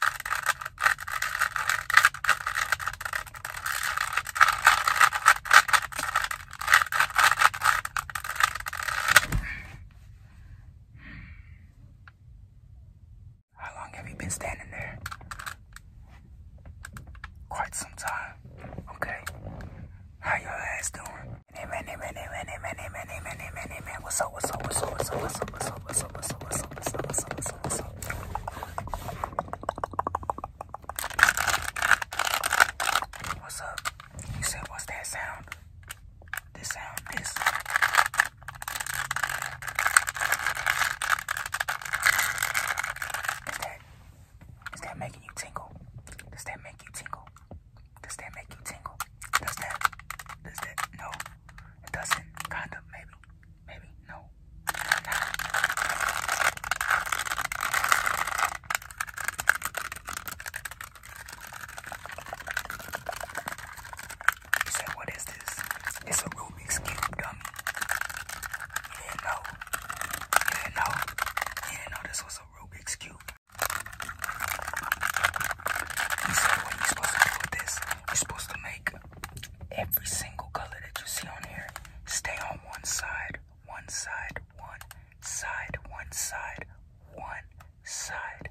How long have you been standing there? Quite some time. Okay. How your ass doing? What's up, what's up, what's up, what's up, what's up, what's up? muscle, muscle, muscle, muscle, muscle, muscle, muscle, muscle. What's up? You said, what's that sound? This sound, this. Is that, is that making you tingle? Does that make you tingle? Does that make you tingle? Does that, does that, no. It doesn't. Kind of. Maybe. Maybe. No. You said, what is this? It's a Rubik's Cube dummy. You didn't know. You didn't know. You didn't know this was a Rubik's Cube. You see the you're supposed to do with this? You're supposed to make every single color that you see on here stay on one side, one side, one side, one side, one side.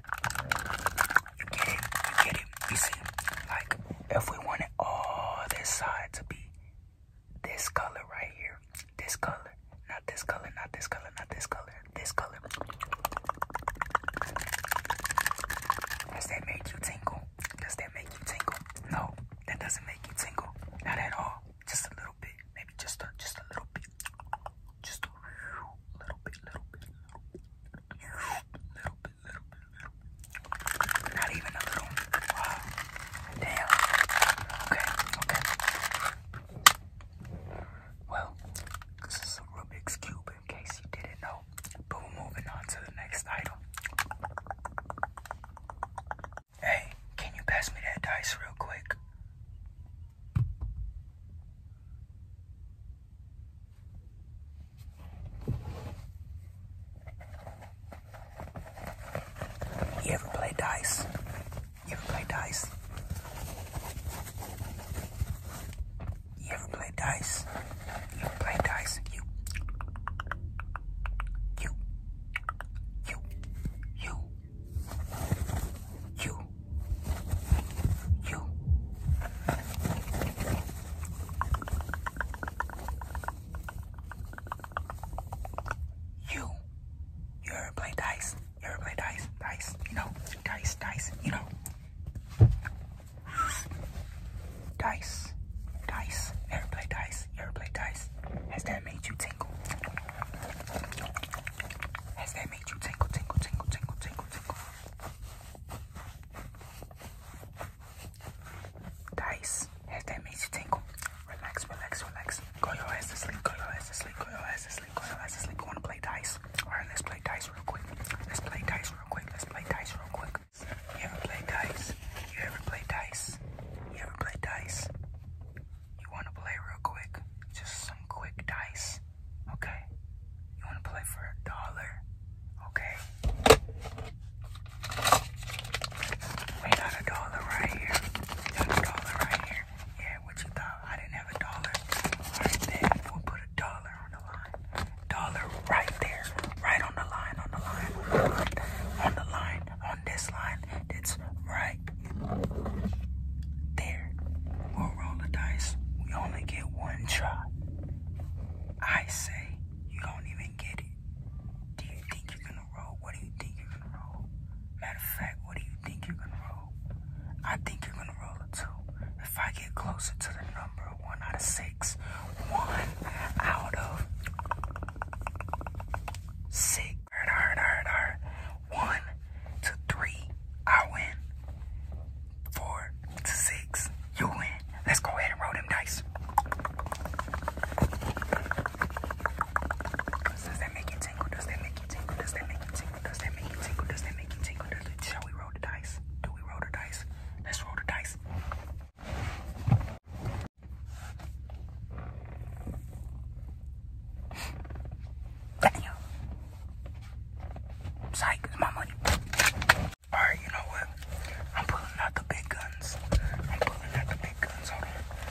You get it? You get it? You see? Like, if we wanted all this side to be this color right here, this color, not this color, not this color, not this color, this color. Does that make you tingle? Does that make you tingle? No, that doesn't make you tingle. Not at all. Just a little bit. Maybe just a just a little bit. Just a little bit, little bit, little bit. Not even a little. Damn. Okay, okay. Well, this is a Rubik's Cube in case you didn't know. But we're moving on to the next item. Hey, can you pass me that dice real quick? You ever play dice? You play dice? You play dice? You play dice? You. You. You. You. You. You. You ever play dice? You ever play dice? Dice, you know, dice, dice, you know. Dice, dice, ever play dice? You ever play dice? Has that made you tingle? Has that made you tingle, tingle, tingle, tingle, tingle, tingle? Dice, has that made you tingle? Relax, relax, relax. Go your ass to sleep. Go to sleep. Go to sleep. Go to sleep. wanna play dice? Alright, let's play dice real quick. Let's play dice real quick. Let's play dice real quick. You ever play dice? You ever play dice? You ever play dice? You wanna play real quick? Just some quick dice. Okay. You wanna play for a dollar? Okay. We got a dollar right here. Got a dollar right here. Yeah, what you thought? I didn't have a dollar. we put a dollar on the line. Dollar right there. Right on the line, on the line, on the line, on this line. That's right there. we roll the dice. We only get one try. I say you don't even get it. Do you think you're gonna Matter of fact, what do you think you're gonna roll? I think you're gonna roll two. If I get closer to the number one out of six, one out of six. One to three, I win. Four to six, you win. Let's go ahead and roll them dice. Does that make you tingle? Does that make you tingle? Does that make you tingle? Does that make you tingle? Does that make you tingle? shall we roll the dice? Do we roll the dice? Let's roll the dice. Damn. Psych, it's my Alright, you know what? I'm pulling out the big guns. I'm pulling out the big guns. Hold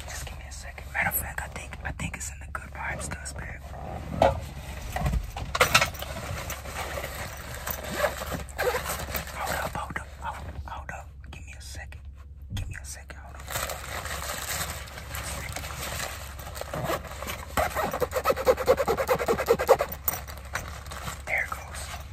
Just give me a second. Matter of fact, I think I think it's in the good vibes dust Hold up, hold up, hold up, hold up. Give me a second. Give me a second, There it goes.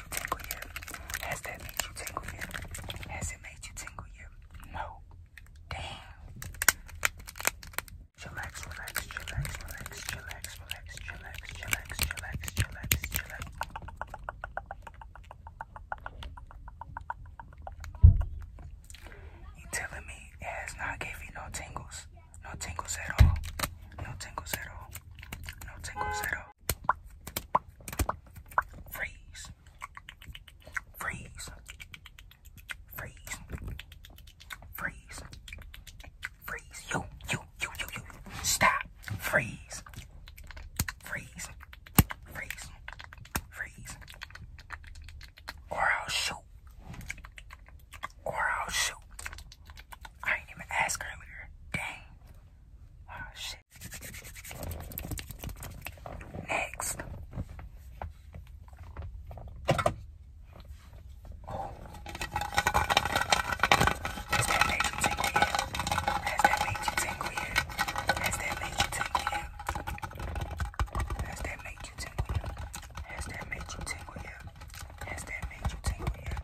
you tingle Has that made you tingle you? Has it made you tingle you? No. Damn. Chillax, relax, chillax, chillax, chillax, chillax, chillax, chillax, chillax. You telling me it has not gave you no tingles? No tingles at all. No tingles at all. No tingles at all. Freeze. Freeze. Freeze. Freeze. Freeze. You, you, you, you, you. Stop. Freeze. Freeze. Freeze. Freeze. Or I'll shoot. Or I'll shoot. I didn't even ask earlier. Dang. Next. Oh. Has that made you tingle Has that made you tingle Has that made you tingle Has that made you tingle Has that made you tingle Has that made you tingle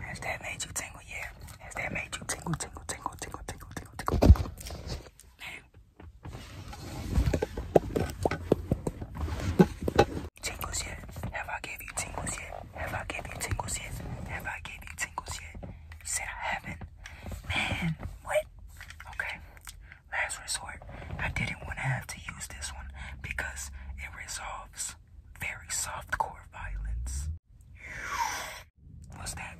Has that made you tingle? Yeah. Has that made you tingle, tingle, tingle, tingle, tingle, tingle, tingle? Tingles yet? Have I gave you tingles yet? Have I gave you tingles yet? Have I gave you tingles yet? You said I haven't. Man, what? Okay. Last resort, I didn't want to have to use this one because it resolves very soft core violence. What's that?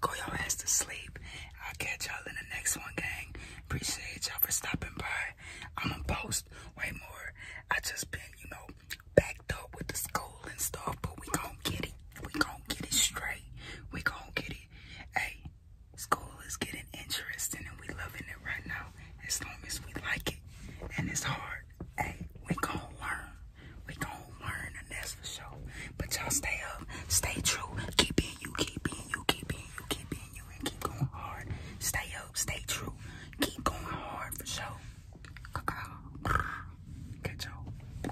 Go your ass to sleep I'll catch y'all in the next one, gang. Appreciate y'all for stopping by. I'm gonna post way more. I just been, you know, backed up with the school and stuff, but we gonna get it. We going get it straight. We gonna get it. Hey, school is getting interesting and we loving it right now. As long as we like it and it's hard, hey, we gonna learn. We gon' learn, and that's for sure. But y'all stay up, stay true, keep being you, keep being you, keep being you, keep being you, and keep going hard. Stay up, stay true, keep going hard for sure. Catch y'all.